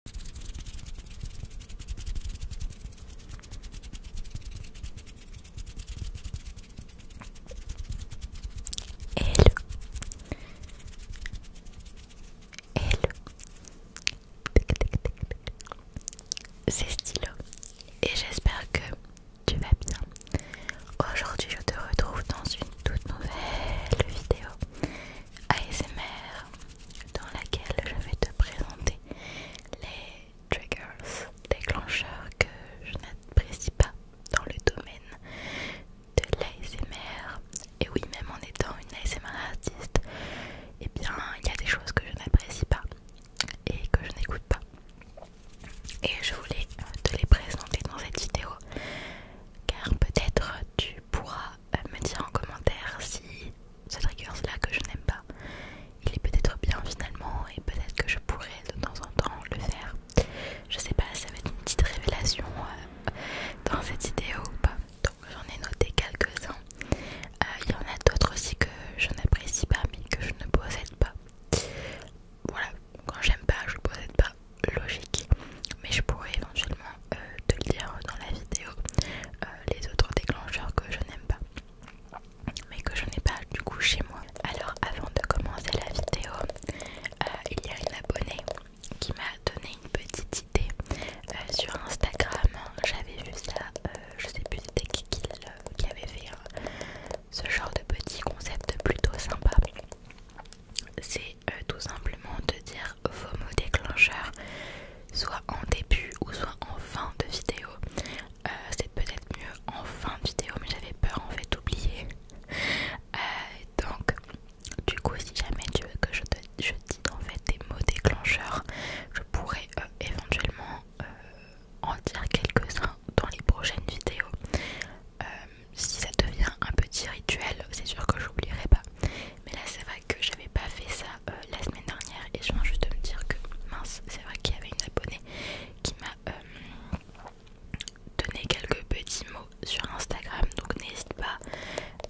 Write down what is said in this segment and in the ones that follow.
Hello Hello C'est Stylo et j'espère que tu vas bien. Aujourd'hui je te retrouve dans une toute nouvelle vidéo ASMR dans laquelle je vais te présenter les triggers, déclencheurs que je n'apprécie pas dans le domaine de l'ASMR. Et oui, même en étant une ASMR artiste, et eh bien, il y a des choses que je n'apprécie pas et que je n'écoute pas. Et je voulais te les présenter dans cette vidéo car peut-être tu pourras me dire en commentaire si ce trigger là que je n'aime pas il est peut-être bien finalement et peut-être que je pourrais de temps en temps le faire je sais pas ça va être une petite révélation euh, dans cette vidéo ou pas donc j'en ai noté quelques-uns euh, il y en a d'autres aussi que je n'apprécie pas mais que je ne possède pas voilà quand j'aime pas je possède pas logique mais je pourrais éventuellement euh, de le dire dans la vidéo euh, les autres déclencheurs que je n'aime pas mais que je n'ai pas du coup chez moi alors avant de commencer la vidéo euh, il y a une abonnée qui m'a donné une petite idée sur Instagram j'avais vu ça je sais plus c'était qui, qui, avait fait ce genre de petit concept plutôt sympa c'est tout simplement de dire vos mots déclencheurs soit en début ou soit en fin de vidéo. Euh, c'est peut-être mieux en fin de vidéo, mais j'avais peur en fait d'oublier. Euh, donc, du coup, si jamais tu veux que je te je dise en fait des mots déclencheurs, je pourrais euh, éventuellement en dire quelques-uns dans les prochaines vidéos. si ça devient un petit rituel, c'est sûr que j'oublierai pas mais là c'est vrai que j'avais pas fait ça euh, la semaine dernière et je viens juste de me dire que mince c'est vrai qu'il y avait une abonnée qui m'a euh, donné quelques petits mots sur Instagram donc n'hésite pas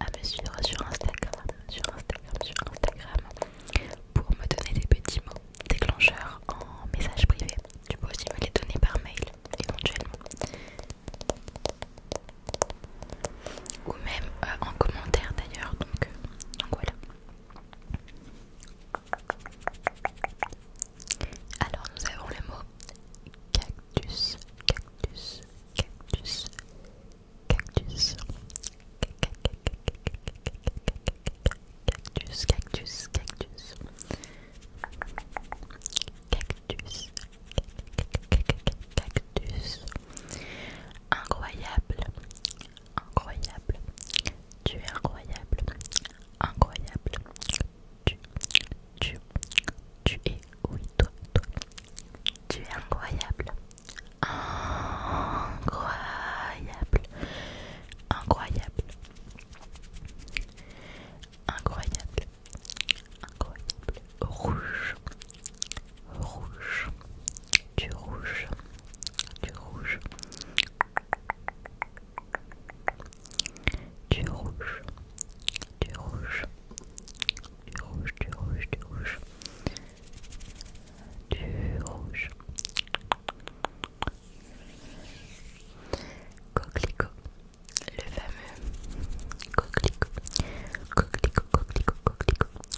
à me suivre sur Instagram sur Instagram sur Instagram pour me donner des petits mots déclencheurs en message privé tu peux aussi me les donner par mail éventuellement ou même euh, en commentaire d'ailleurs euh, donc, voilà alors nous avons le mot cactus cactus cactus cactus cactus cactus cactus cactus cactus Incroyable, incroyable, tu es incroyable, incroyable, tu, tu, tu es, oui, toi, toi, tu es incroyable, incroyable, incroyable, incroyable, incroyable, rouge rouge, du rouge, du rouge, du rouge, du rouge, du rouge, du rouge, du rouge, du rouge. Coquelicot, le fameux coquelicot, coquelicot, coquelicot, coquelicot,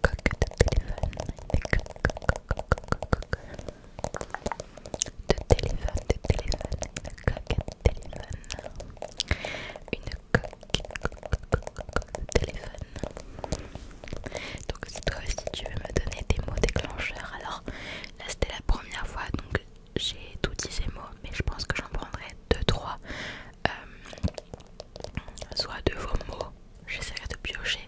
coque de téléphone, de coque, coque, coque, coque, de téléphone, de téléphone, une coque de téléphone, une coque de téléphone. Donc si toi aussi tu veux me donner des mots déclencheurs, alors là c'était la première fois donc j'ai tout dit ces mots, mais je pense que j'en prendrai 2-3. soit de vos mots j'essaierai de piocher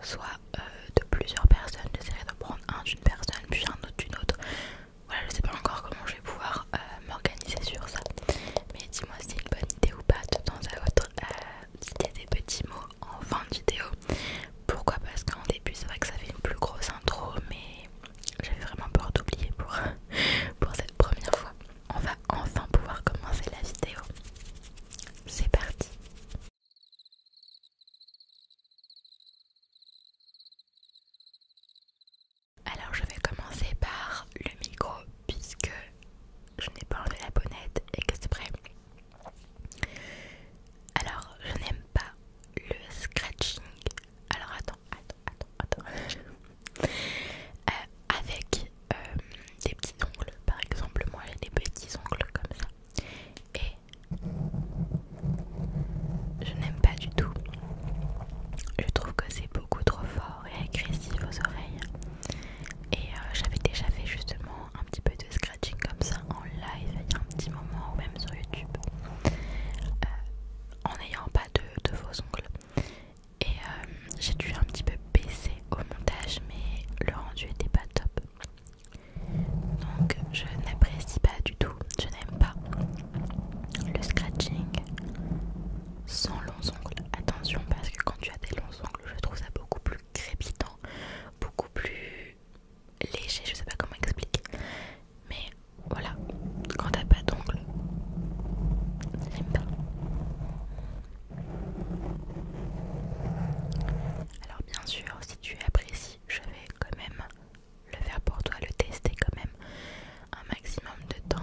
soit euh, de plusieurs personnes, j'essaierai de prendre un d'une personne puis un autre d'une autre. Voilà, je sais pas encore comment je vais pouvoir euh, m'organiser sur ça. Mais dis-moi si c'est une bonne idée ou pas de temps à autre euh, tu des petits mots en fin de vidéo. Pourquoi Parce qu'en début c'est vrai que ça fait une plus grosse intro mais j'avais vraiment peur d'oublier pour, pour cette première fois. On va enfin pouvoir commencer la vidéo. C'est parti Alors je vais commencer par le micro puisque je n'ai pas enlevé la bonnette exprès. Alors je n'aime pas le scratching. Alors attends, attends, attends, attends. Euh, avec euh, des petits ongles. Par exemple, moi j'ai des petits ongles comme ça. Et je n'aime pas du tout. Je trouve que c'est beaucoup trop fort et agressif aux oreilles. Et euh, j'avais déjà fait justement un petit peu de scratching comme ça en live il y a un petit moment ou même sur YouTube. Euh, en n'ayant pas de, faux ongles. Et j'ai dû un petit peu baisser au montage, mais le rendu était pas top. Donc je n'apprécie pas du tout, je n'aime pas le scratching sans longs ongles. Attention parce que quand tu as des longs ongles, je trouve ça beaucoup plus crépitant, beaucoup plus léger, je sais pas comment expliquer. Mais voilà, quand t'as pas d'ongles, j'aime pas. Alors bien sûr, si tu apprécies, je vais quand même le faire pour toi, le tester quand même un maximum de temps.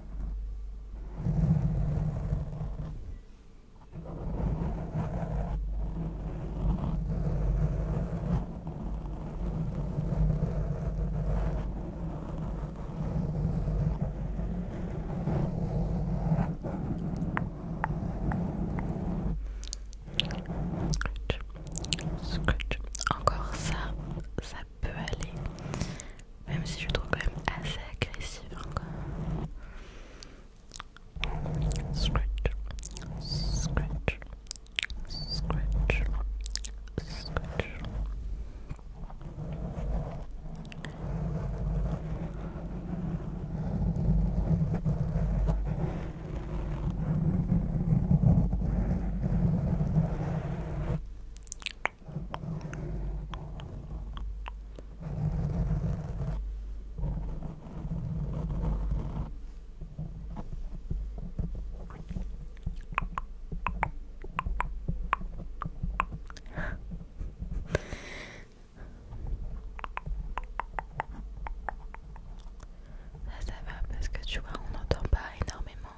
Scratch. Scratch. Encore ça, ça peut aller. Même si je trouve quand même assez agressif encore. Hein, scratch, scratch, scratch, scratch. Ça, va parce que tu vois, on n'entend pas énormément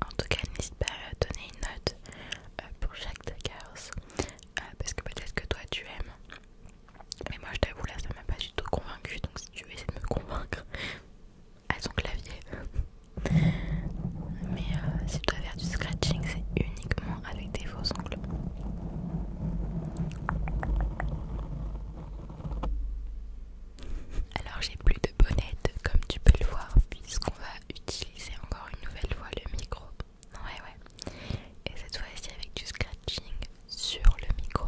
en tout cas, n'hésite pas à donner une note euh, pour chaque triggers euh, parce que peut-être que toi tu aimes mais moi je t'avoue là ça m'a pas du tout convaincue donc si tu veux essayer de me convaincre à son clavier Mais euh, si tu dois faire du scratching c'est uniquement avec des faux ongles Alors j'ai plus de bonnette comme tu peux le voir puisqu'on va utiliser encore une nouvelle fois le micro Ouais ouais et cette fois-ci avec du scratching sur le micro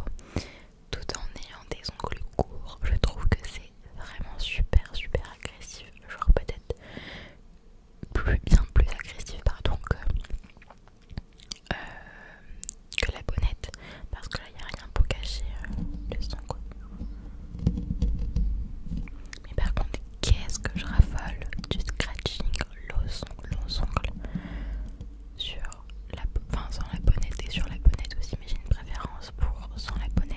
tout en ayant des ongles courts. Je trouve que c'est vraiment super super agressif, genre peut-être plus bien plus agressif pardon que, euh, la bonnette parce que là il n'y a rien pour cacher euh, le son Mais par contre qu'est-ce que je raffole du scratching l'os ongles sur la enfin sans la bonnette et sur la bonnette aussi mais j'ai une préférence pour sans la bonnette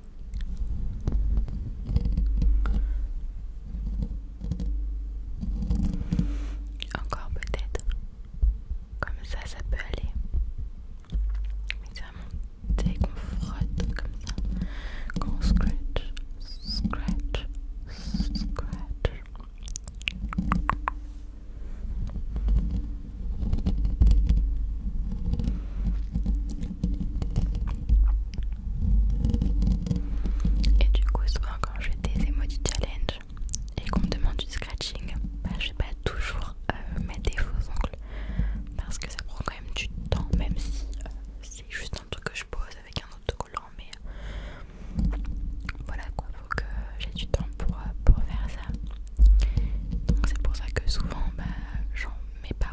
Encore peut-être. Comme ça, ça peut aller. Mais ça me dès comme ça, qu'on scratch, scratch, scratch. Et du coup, souvent quand j'ai des émojis challenge et qu'on me demande du scratching, bah, je vais pas toujours euh, mettre des faux ongles parce que ça prend quand même du temps, même si euh, c'est juste un truc que je pose avec un autocollant. Mais voilà quoi, faut que j'ai du temps pour, euh, pour faire ça. Donc c'est pour ça que souvent bah, j'en mets pas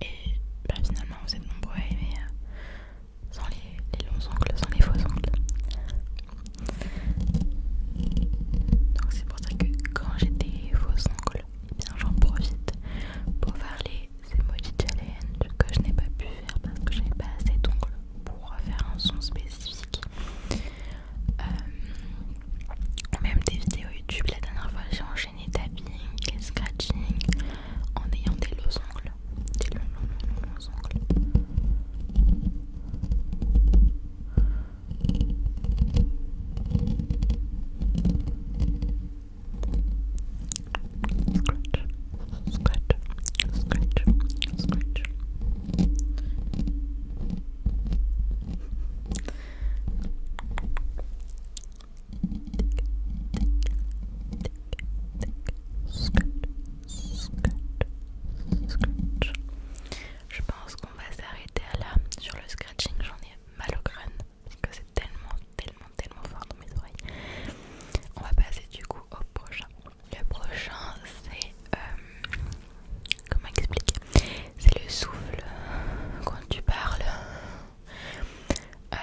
et bah, finalement, vous êtes nombreux à aimer euh, sans les, longs ongles, sans les faux ongles. Donc, c'est pour ça que quand j'ai des faux ongles, eh j'en profite pour faire les emoji challenge que je n'ai pas pu faire parce que j'avais pas assez d'ongles pour faire un son spécifique. Ou euh, même des vidéos YouTube, la dernière fois j'ai enchaîné enchaîner tapping et scratching en ayant des losongles, des longs, longs, longs, longs losongles. Scratch, scratch, scratch, scratch. Je pense qu'on va s'arrêter là sur le scratching, j'en ai mal au crâne parce que c'est tellement, tellement, tellement fort dans mes oreilles. On va passer du coup au prochain. Le prochain, c'est euh, comment expliquer C'est le souffle quand tu parles euh,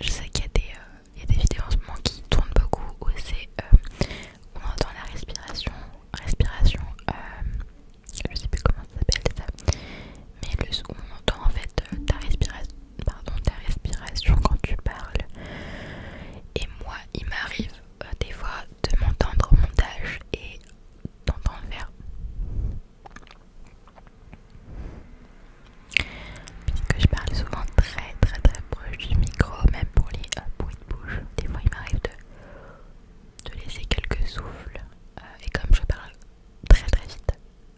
je sais qu'il euh, y, a des vidéos en ce moment qui tournent beaucoup où c'est euh, on entend la respiration, respiration, je sais plus comment ça s'appelle ça, mais le, où on entend en fait ta, respiration, pardon, ta respiration quand tu parles. Et moi, il m'arrive des fois de m'entendre au montage et d'entendre faire Puisque je parle souvent très très très proche du micro, même pour les bruits euh, de bouche, des fois il m'arrive de, laisser quelques souffles. Euh, et comme je parle très très vite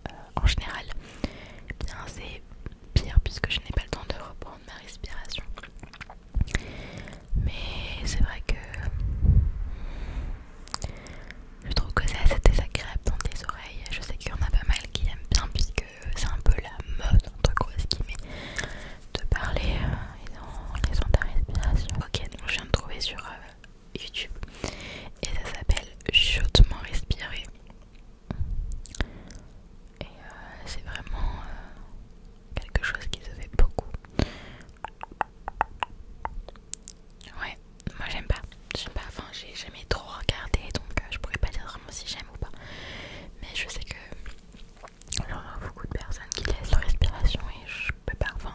euh, en général, eh bien c'est pire puisque je n'ai pas le temps de reprendre ma respiration. Mais c'est vrai que je trouve que c'est assez désagréable dans tes oreilles. Je sais qu'il y en a pas mal qui aiment bien, puisque c'est un peu la mode, entre qui met de parler en laissant ta respiration. Ok, donc je viens de trouver sur euh, YouTube et ça s'appelle Chutement respirer. Et euh, c'est vraiment euh, quelque chose qui se fait beaucoup Ouais, moi j'aime pas. J'aime pas, enfin j'ai jamais trop regardé donc euh, je pourrais pas dire vraiment si j'aime ou pas. Mais je sais que a beaucoup de personnes qui laissent leur respiration et je peux pas, enfin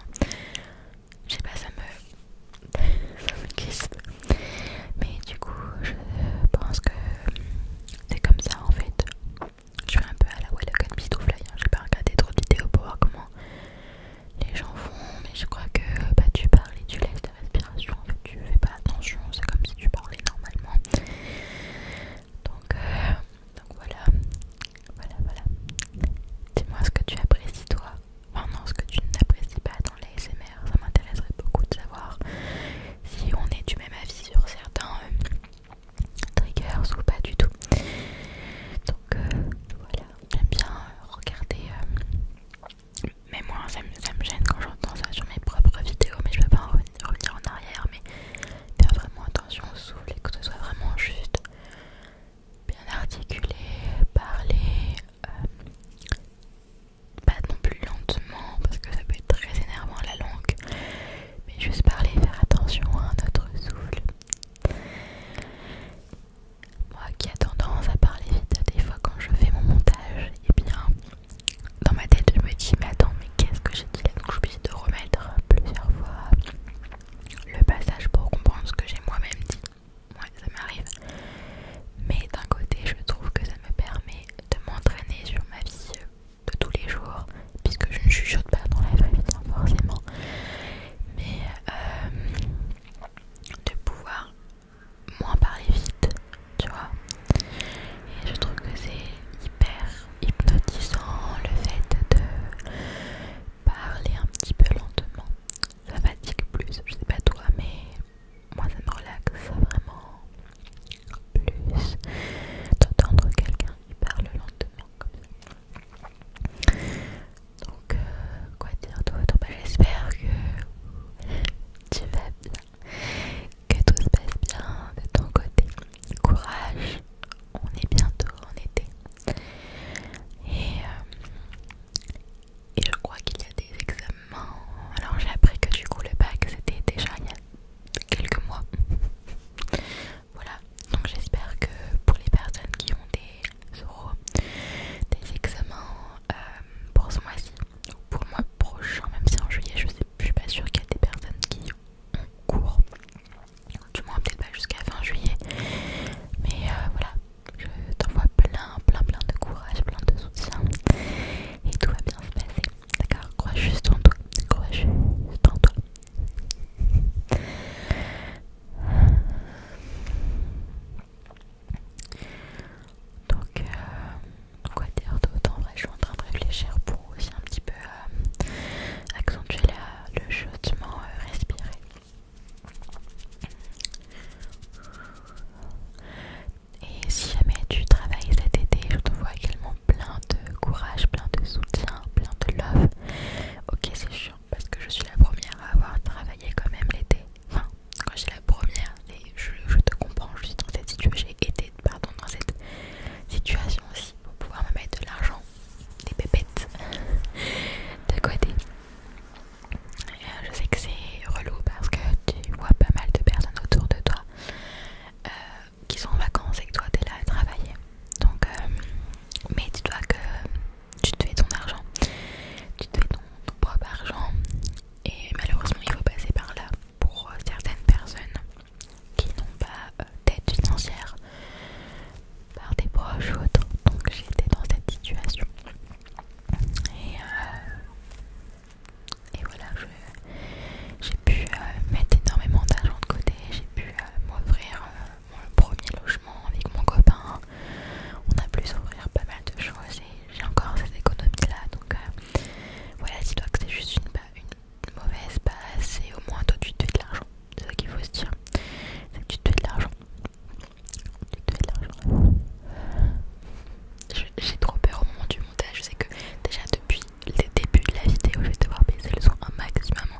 je sais pas, ça me. ça Mais du coup, je pense que c'est comme ça en fait. Je suis un peu à la Wallach and Fly, j'ai pas regardé trop de vidéos pour voir comment les gens font, mais je crois que bah, tu parles et tu laisses ta respiration, en fait, tu fais pas attention, c'est comme si tu parlais normalement. Donc, euh, voilà, voilà, voilà. Dis-moi ce que tu apprécies toi, enfin non, ce que tu n'apprécies pas dans les l'ASMR, ça m'intéresserait beaucoup de savoir si on est du même avis sur certains euh, triggers ou pas du tout. Donc euh, voilà. J'aime bien euh, regarder. Euh, mais moi, ça me, gêne quand j'entends ça sur mes propres vidéos. Mais je peux pas revenir en arrière. Mais faire vraiment attention au souffle et que ce soit vraiment juste. Bien articulé, parler. Euh, pas non plus lentement parce que ça peut être très énervant la langue mais juste parler faire attention à notre souffle moi qui a tendance à parler vite des fois quand je fais mon montage, et eh bien dans ma tête je me dis mais attends mais qu'est-ce que j'ai dit là donc je de remettre plusieurs fois le passage pour comprendre ce que j'ai moi-même dit. Ouais ça m'arrive. Mais d'un côté je trouve que ça me permet de m'entraîner sur ma vie euh, de tous les jours puisque je ne chuchote pas dans la vraie vie hein, forcément. Mais euh, de pouvoir moins parler vite, tu vois. Et je trouve que c'est hyper hypnotisant le fait de parler un petit peu lentement. Ça fatigue plus, je sais pas toi, mais moi ça me relaxe vraiment plus d'entendre quelqu'un qui parle lentement comme ça. Donc, euh, quoi dire d'autre bah, J'espère que tu vas bien, que tout se passe bien de ton côté. Courage, on est bientôt en été. Et, euh, et je crois qu'il y a des examens. Alors, j'ai appris que du coup, le bac c'était déjà il y a quelques mois. voilà, donc j'espère que pour les personnes qui ont des des examens euh, pour ce mois-ci ou pour le mois prochain, même si en juillet je, sais, je suis pas sûre qu'il y a des personnes qui ont cours, du moins peut-être pas jusqu'à fin juillet, mais euh, voilà, je t'envoie plein, plein, plein de courage, plein de soutien et tout va bien se passer, d'accord Crois juste en toi, crois juste en toi. Donc, euh, quoi dire d'autre En vrai, je suis en train de réfléchir pour aussi un petit peu euh, accentuer le chuchotement euh, respiré. Et si jamais tu travailles cet été, je te vois également plein de courage, plein de soutien, plein de love. Ok, c'est sûr parce que je suis la première à avoir travaillé quand même l'été. Enfin, quand j'ai la première, Et je te comprends, je dans cette situation, j'ai été pardon, dans cette situation aussi pour pouvoir me mettre de l'argent, des pépettes de côté. Euh, je sais que c'est relou parce que tu vois pas mal de personnes autour de toi euh, qui sont en vacances et que toi t'es là à travailler. Donc, euh, mais dis-toi que tu te fais ton argent, tu te fais ton, propre argent et malheureusement il faut passer par là pour euh, certaines personnes qui n'ont pas euh, d'aide financière par des proches ou autres. Donc j'étais dans cette situation. Et, euh, voilà, j'ai pu mettre énormément d'argent de côté, j'ai pu m'offrir mon premier logement avec mon copain, on a pu s'ouvrir pas mal de choses et j'ai encore cette économie là donc euh, voilà dis-toi que c'est juste une, mauvaise base et au moins toi tu te fais de l'argent c'est ça qu'il faut se dire c'est que tu te fais de l'argent j'ai trop peur au moment du montage je sais que déjà depuis le début de la vidéo je vais devoir baisser le son un maximum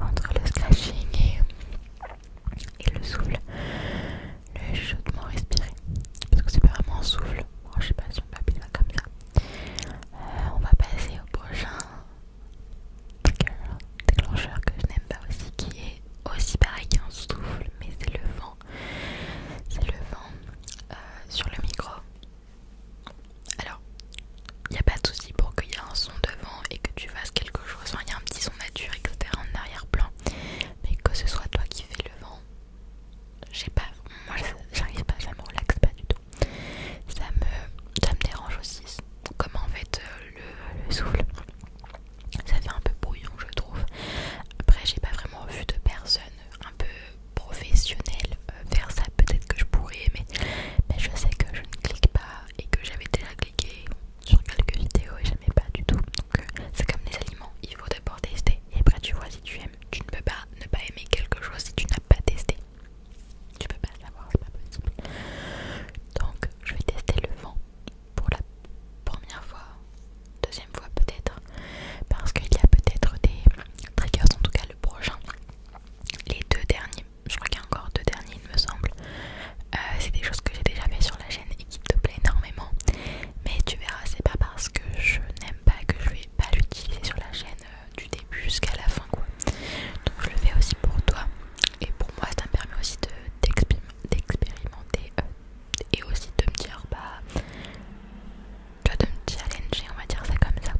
entre le scratching et et le souffle, le chaudement respiré, parce que c'est pas vraiment un souffle. Moi, oh, je sais pas si on peut appeler comme ça. Euh, on va passer au prochain déclencheur que je n'aime pas aussi, qui est aussi pareil qu'un souffle, mais c'est le vent. C'est le vent euh, sur le micro. Alors, il n'y a pas de souci pour qu'il y ait un son de vent et que tu fasses quelque chose. il y a un petit nature, etc. en arrière-plan. Mais que ce soit toi qui fais le vent, j'ai pas, moi j'arrive pas, ça me relaxe pas du tout. Ça me, ça me dérange aussi, comme en fait euh, le, souffle. Ça fait un peu brouillon, je trouve. Après, j'ai pas vraiment vu de personne un peu professionnelle euh, faire ça. Peut-être que je pourrais, mais je sais que je ne clique pas et que j'avais déjà cliqué sur quelques vidéos et j'aimais pas du tout. Donc euh, c'est comme les aliments, il faut d'abord tester et après tu vois si tu aimes. Tu ne peux pas ne pas aimer quelque chose si tu n'as pas testé. Tu peux pas savoir, c'est pas possible. Donc je vais tester le vent pour la première fois, deuxième fois peut-être, parce qu'il y a peut-être des triggers, en tout cas le prochain. Les deux derniers, je crois qu'il y a encore deux derniers me semble. Euh, c'est des choses que j'ai déjà fait sur la chaîne et qui te plaît énormément. Mais tu verras, c'est pas parce que je n'aime pas que je vais pas l'utiliser sur la chaîne euh, du début jusqu'à la fin quoi. Donc je le fais aussi pour toi et pour moi ça me permet aussi d'expérimenter de, euh, et aussi de me dire bah de me challenger on va dire ça comme ça.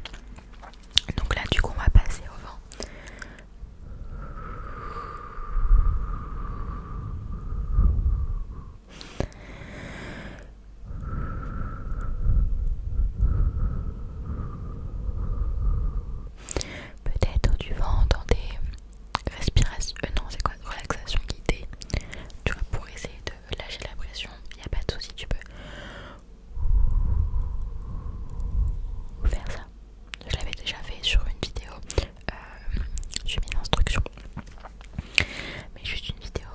Donc là du coup on va passer au vent. Peut-être tu vas entendre des respirations, euh, non c'est quoi, relaxation guidée, tu vois pour essayer de lâcher la pression, il n'y a pas de soucis, tu peux faire ça je l'avais déjà fait sur une vidéo, euh, j'ai mis l'instruction, mais juste une vidéo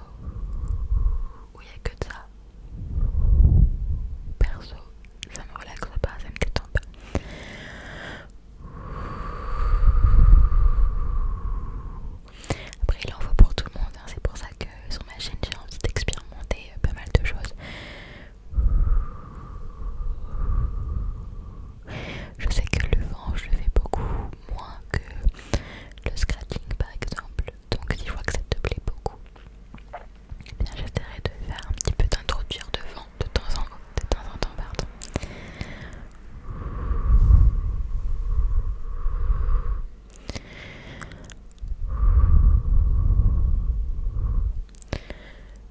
où il n'y a que de ça. Perso, ça me relaxe pas, ça me détend pas. Après, il en faut pour tout le monde, hein. c'est pour ça que sur ma chaîne j'ai envie d'expérimenter euh, pas mal de choses. Je sais que le vent, je le fais beaucoup moins que le scratching par exemple. Donc si je vois que ça te plaît beaucoup, j'essaierai de faire un petit peu d'introduire de vent de temps en temps. De temps, en temps pardon.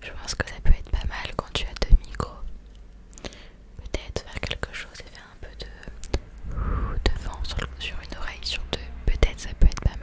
Je pense que ça peut être pas mal quand tu as deux micros. Peut-être faire quelque chose et faire un peu de, vent sur une oreille, sur deux. Peut-être ça peut être pas mal.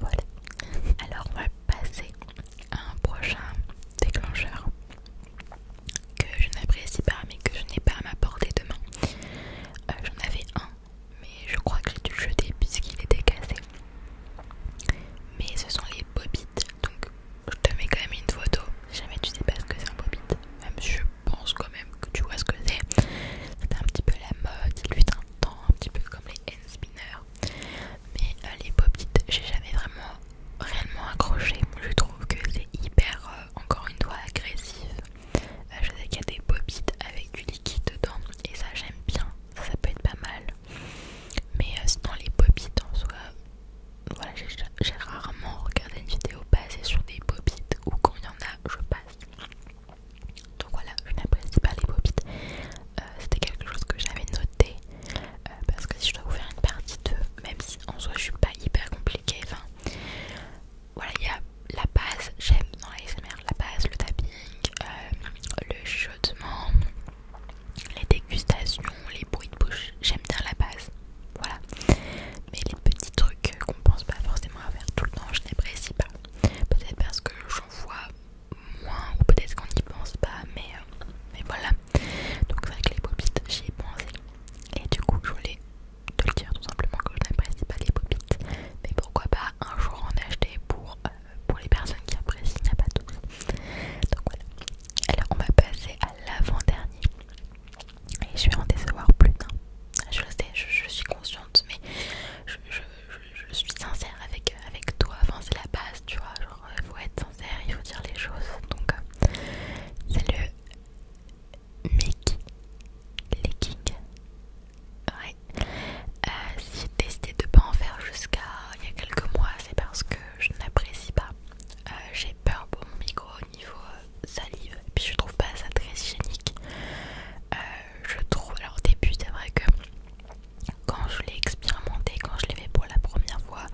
Voilà. Alors on va passer à un prochain déclencheur que je n'apprécie pas mais que je n'ai pas à m'apporter demain. Euh, j'en avais un mais je crois que j'ai dû le jeter puisqu'il était cassé. Mais ce sont les bobites donc je te mets quand même une photo. Jamais tu sais pas ce que c'est un bobite. Même je pense quand même que tu vois ce que c'est. C'est un petit peu la mode, il lui un un petit peu comme les hand spinners mais euh, les bobites j'ai jamais vraiment réellement accroché je trouve que c'est hyper euh, encore une fois agressif euh, je sais qu'il y a des bobites avec du liquide dedans et ça j'aime bien ça, peut être pas mal mais sinon les bobites en soi voilà j'ai rarement regardé une vidéo basée sur des bobites ou quand il y en a je passe donc voilà, je n'apprécie pas les bobites. Euh, c'était quelque chose que j'avais noté euh, parce que si je dois vous faire une partie de même si en soi je suis pas hyper compliquée, enfin voilà, il y a la base, j'aime dans l'ASMR, la base, le tapping, euh, le chuchotement, les dégustations, les bruits de bouche, j'aime bien la base, voilà. Mais les petits trucs qu'on pense pas forcément à faire tout le temps, je n'apprécie pas. Peut-être parce que j'en vois moins ou peut-être qu'on n'y pense pas mais, euh, mais voilà donc c'est vrai que les pop-it j'y ai pensé et du coup je voulais te le dire tout simplement que je n'apprécie pas les pop-it mais pourquoi pas un jour en acheter pour, euh, pour les personnes qui apprécient, il pas tout donc voilà alors on va passer à l'avant-dernier et je vais en décevoir plus je, sais, je suis consciente mais je, je suis sincère avec, avec toi, enfin c'est la base, tu vois, genre il euh, faut être sincère, il faut dire les choses, donc euh, c'est le make leaking, ouais, euh, si j'ai décidé de pas en faire jusqu'à il y a quelques mois, c'est parce que je n'apprécie pas, j'ai peur pour mon micro au niveau salive, et puis je trouve pas ça très hygiénique, je trouve, alors au début c'est vrai que quand je l'ai expérimenté, quand je l'ai fait pour la première fois,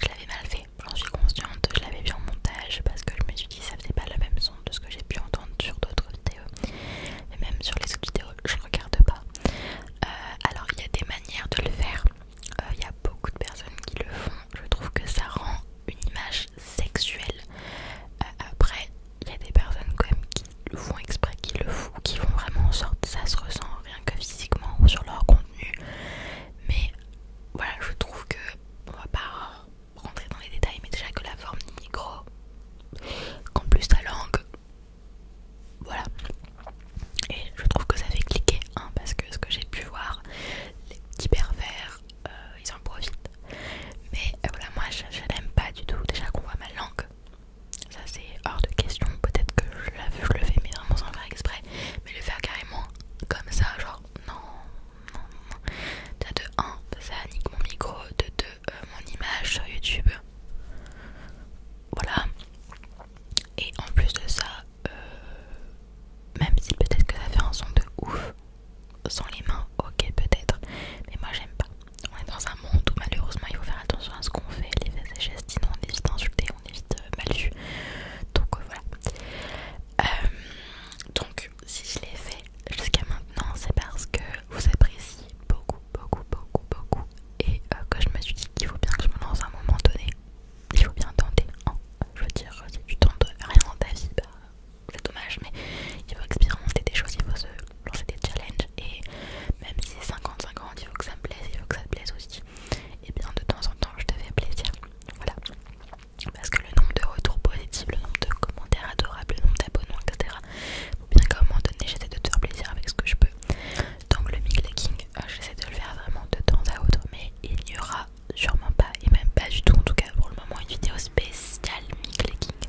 je l'avais mal fait. J'en suis consciente, je l'avais vu en montage parce que je me suis dit ça faisait pas la même son de ce que j'ai pu entendre sur d'autres vidéos. et même sur les autres vidéos, je regarde pas. Euh, alors il y a des manières de le faire. Euh, il y a beaucoup de personnes qui le font. Je trouve que ça rend une image sexuelle. Euh, après, il y a des personnes quand même qui le font exprès, qui le font, qui vont vraiment en sorte que ça se ressent rien que physiquement ou sur leur contenu. Mais voilà, je trouve que on va pas rentrer dans les détails, mais déjà que la forme du micro, qu'en plus ta langue, voilà. Et je trouve que ça fait cliquer, hein, parce que ce que j'ai pu voir, les petits pervers, euh, ils en profitent. Mais euh, voilà, moi je, je n'aime pas du tout. Déjà qu'on voit ma langue, ça c'est hors de question. Peut-être que je le fais mais vraiment sans le faire exprès. Mais le faire carrément comme ça, genre non, non, non. de 1, ça nique mon micro, de deux, euh, mon image sur YouTube. Voilà. Et en plus de ça, euh, même si peut-être que ça fait un son de ouf sans les mains, ok peut-être, mais moi j'aime pas on est dans un monde où malheureusement il faut faire attention à ce qu'on fait, les faits et gestes, on évite d'insulter, on évite de euh, Donc euh, voilà. Euh, donc si je l'ai fait jusqu'à maintenant, c'est parce que vous appréciez beaucoup, beaucoup, beaucoup, beaucoup. Et que je me suis dit qu'il faut bien que je me lance à un moment donné. Il faut bien tenter. Hein. Je veux dire, si tu tentes rien dans ta vie, bah, c'est dommage, mais il faut expérimenter des choses, il faut se lancer des challenges et même si c'est 50-50 il faut que ça me plaise, il faut que ça te plaise aussi et bien de temps en temps je te fais plaisir voilà parce que le nombre de retours positifs, le nombre de commentaires adorables, le nombre d'abonnements etc faut bien qu'à un moment donné j'essaie de te faire plaisir avec ce que je peux donc le miclaking euh, j'essaie de le faire vraiment de temps à autre mais il n'y aura sûrement pas et même pas du tout en tout cas pour le moment une vidéo spéciale miclaking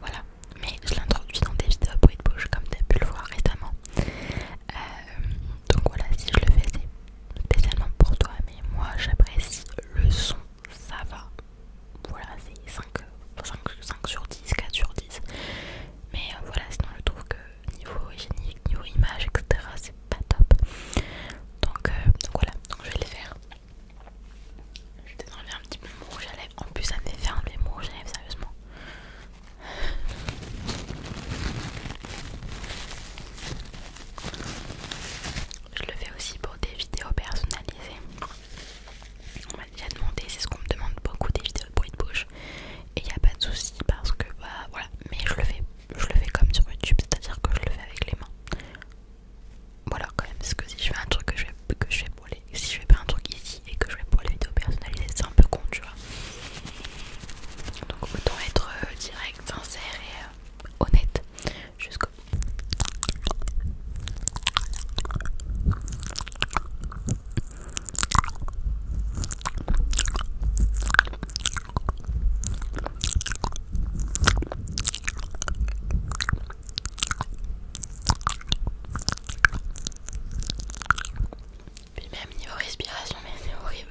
voilà mais je l'introduis dans des vidéos bruit de bouche comme t'as pu le voir récemment. Euh, donc voilà, si je le fais, c'est spécialement pour toi, mais moi j'apprécie le son, ça va. Voilà, c'est 5, sur 10, 4 sur 10. Mais euh, voilà, sinon je trouve que niveau hygiénique, niveau image, etc., c'est pas top. Donc, euh, voilà, je vais les faire. Je vais t'enlever un petit peu mon rouge à En plus, ça me fait faire mon rouge à sérieusement. Je le fais aussi pour des vidéos personnalisées. On m'a déjà demandé, c'est ce qu'on me demande beaucoup des vidéos de bruit de bouche. Et il n'y a pas de souci parce que bah voilà, mais je le fais, je le fais comme sur YouTube, c'est-à-dire que je le fais avec les mains. Voilà quand même, parce que si je fais un truc que je fais, que je fais pour si je fais pas un truc ici et que je fais pour la vidéos personnalisées, c'est un peu con tu vois donc autant être euh, direct sincère et euh, honnête jusqu'au puis même niveau respiration, mais c'est horrible.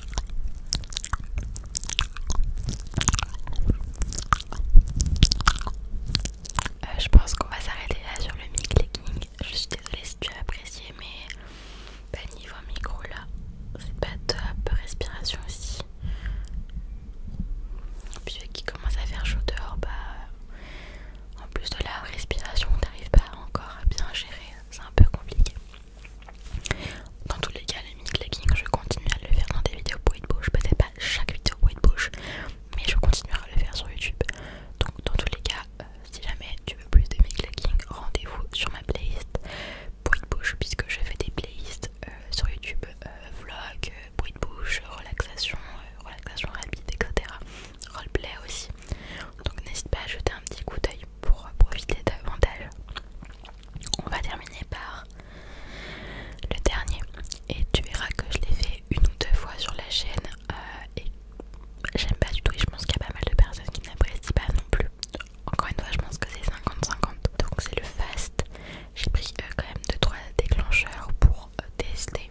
Euh, je pense qu'on va s'arrêter là sur le mic legging. Je suis désolée si tu as apprécié, mais niveau micro là, c'est pas top. Respiration aussi. Puis vu qu'il commence à faire chaud dehors, bah en plus de la respiration, on n'arrive pas encore à bien gérer. C'est un peu compliqué. Dans tous les cas, le mini je continue à le faire dans des vidéos bruit de bouche. Peut-être pas chaque vidéo bruit de bouche, mais je continuerai à le faire sur YouTube. Donc, dans tous les cas, euh, si jamais tu veux plus de mic rendez-vous sur ma playlist bruit de bouche, puisque je fais des playlists euh, sur YouTube euh, vlog, bruit de bouche, relaxation, relaxation rapide, etc. Roleplay aussi donc n'hésite pas à jeter un petit coup d'œil pour profiter davantage. On va terminer par le dernier et tu verras que je l'ai fait une ou deux fois sur la chaîne euh, et j'aime pas du tout et je pense qu'il y a pas mal de personnes qui n'apprécient pas non plus. Encore une fois je pense que c'est 50-50 donc c'est le fast. J'ai pris euh, quand même 2-3 déclencheurs pour euh, tester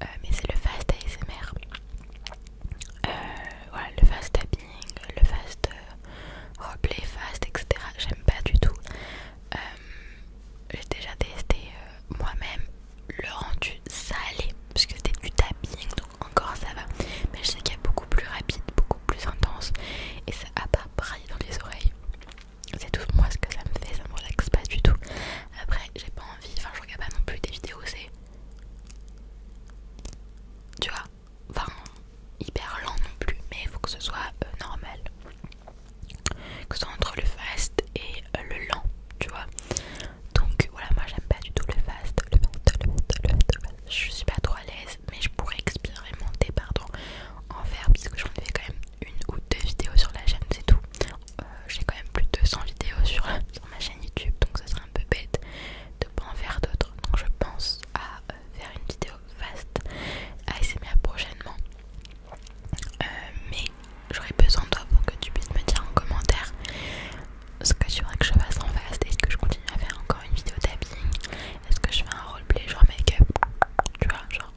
mais c'est le fast ASMR voilà, euh, le fast tapping, le fast euh, replay, fast, etc. J'aime pas du tout. Euh, j'ai déjà testé moi-même le rendu salé, parce que c'était du tapping, donc encore ça va. Mais je sais qu'il y a beaucoup plus rapide, beaucoup plus intense, et ça a pas braillé dans les oreilles. C'est tout moi ce que ça me fait, ça me relaxe pas du tout. Après, j'ai pas envie, enfin, je regarde pas non plus des vidéos, c'est tu vois, enfin hyper lent non plus, mais il faut que ce soit euh, normal. Que ce soit entre le fast et euh, le lent, tu vois. Donc voilà, moi j'aime pas du tout le fast, le fast, le fast, le fast, Je suis pas trop à l'aise, mais je pourrais expérimenter, pardon, en faire, puisque j'en ai fait quand même une ou deux vidéos sur la chaîne, c'est tout. Euh, j'ai quand même plus de 200 vidéos sur, sur ma chaîne YouTube, donc ça serait un peu bête de pas en faire d'autres. Donc je pense à euh, faire une vidéo vaste ASMR prochainement. Euh, mais j'aurais besoin de toi pour que tu puisses me dire en commentaire ce que tu voudrais que je fasse en vaste. Est-ce que je continue à faire encore une vidéo tapping Est-ce que je fais un roleplay genre make-up Tu vois, genre,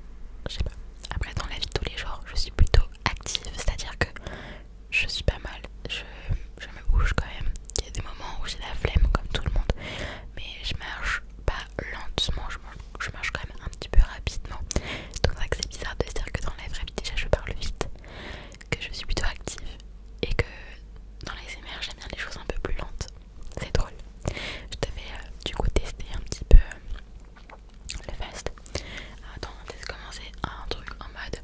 je sais pas. Après dans la vie de tous les jours, je suis plutôt active, c'est-à-dire que je suis pas mal, je, me bouge quand même. Il y a des moments où j'ai la flemme comme tout le monde, mais je marche pas lentement, je, marche quand même un petit peu rapidement. Donc ça c'est bizarre de se dire que dans la vraie vie déjà je parle vite, que je suis plutôt active et que dans les MR j'aime bien les choses un peu plus lentes. C'est drôle. Je devais euh, du coup tester un petit peu le fast. Attends, on va commencer un truc en mode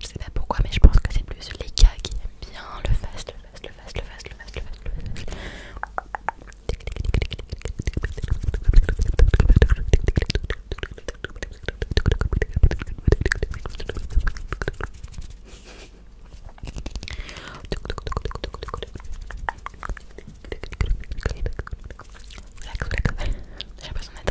je sais pas pourquoi, mais je pense que c'est plus les gars qui aiment bien le fast, le le le le le le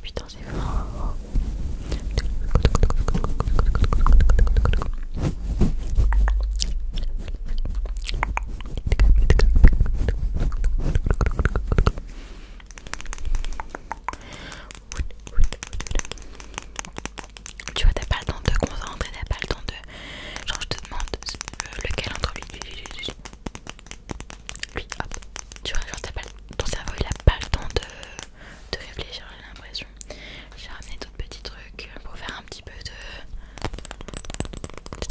Putain, tu vois, t'as pas le temps de concentrer, t'as pas le temps de. Genre, je te demande euh, lequel entre lui, lui, hop. Tu vois, genre, t'as pas le... ton cerveau il a pas le temps de réfléchir, j'ai l'impression. J'ai ramené d'autres petits trucs pour faire un petit peu de, de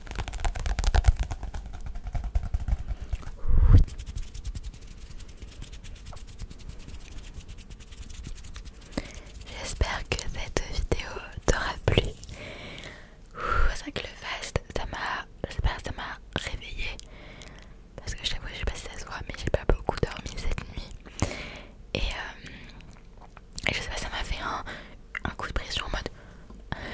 J'espère que cette vidéo t'aura plu. C'est que le fast, ça m'a, j'espère ça m'a réveillée parce que je t'avoue, je sais pas si ça mais j'ai pas beaucoup dormi cette nuit. et euh, je sais pas, ça m'a fait un, un coup de pression en mode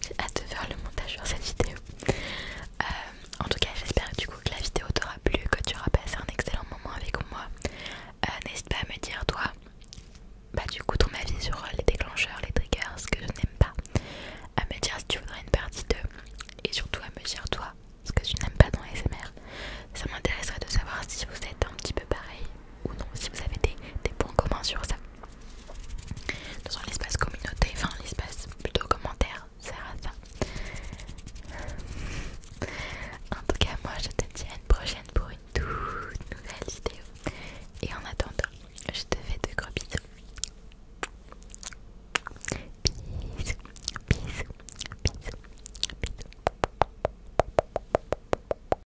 j'ai hâte de faire le montage sur cette vidéo euh, en tout cas j'espère du coup que la vidéo t'aura plu que tu auras passé un excellent moment avec moi euh, n'hésite pas à me dire toi bah du coup ton avis sur les déclencheurs les triggers ce que je n'aime pas à me dire si tu voudrais une partie 2 et surtout à me dire toi ce que tu n'aimes pas dans les SMR. ça m'intéresserait de savoir si vous êtes un petit peu pareil ou non, si vous avez des, des points communs sur ça. Dans l'espace communauté, enfin l'espace plutôt commentaire, sert à ça. En tout cas, moi je te dis à une prochaine pour une toute nouvelle vidéo. Et en attendant, je te fais de gros Bisous, bisous, bisous, bisous.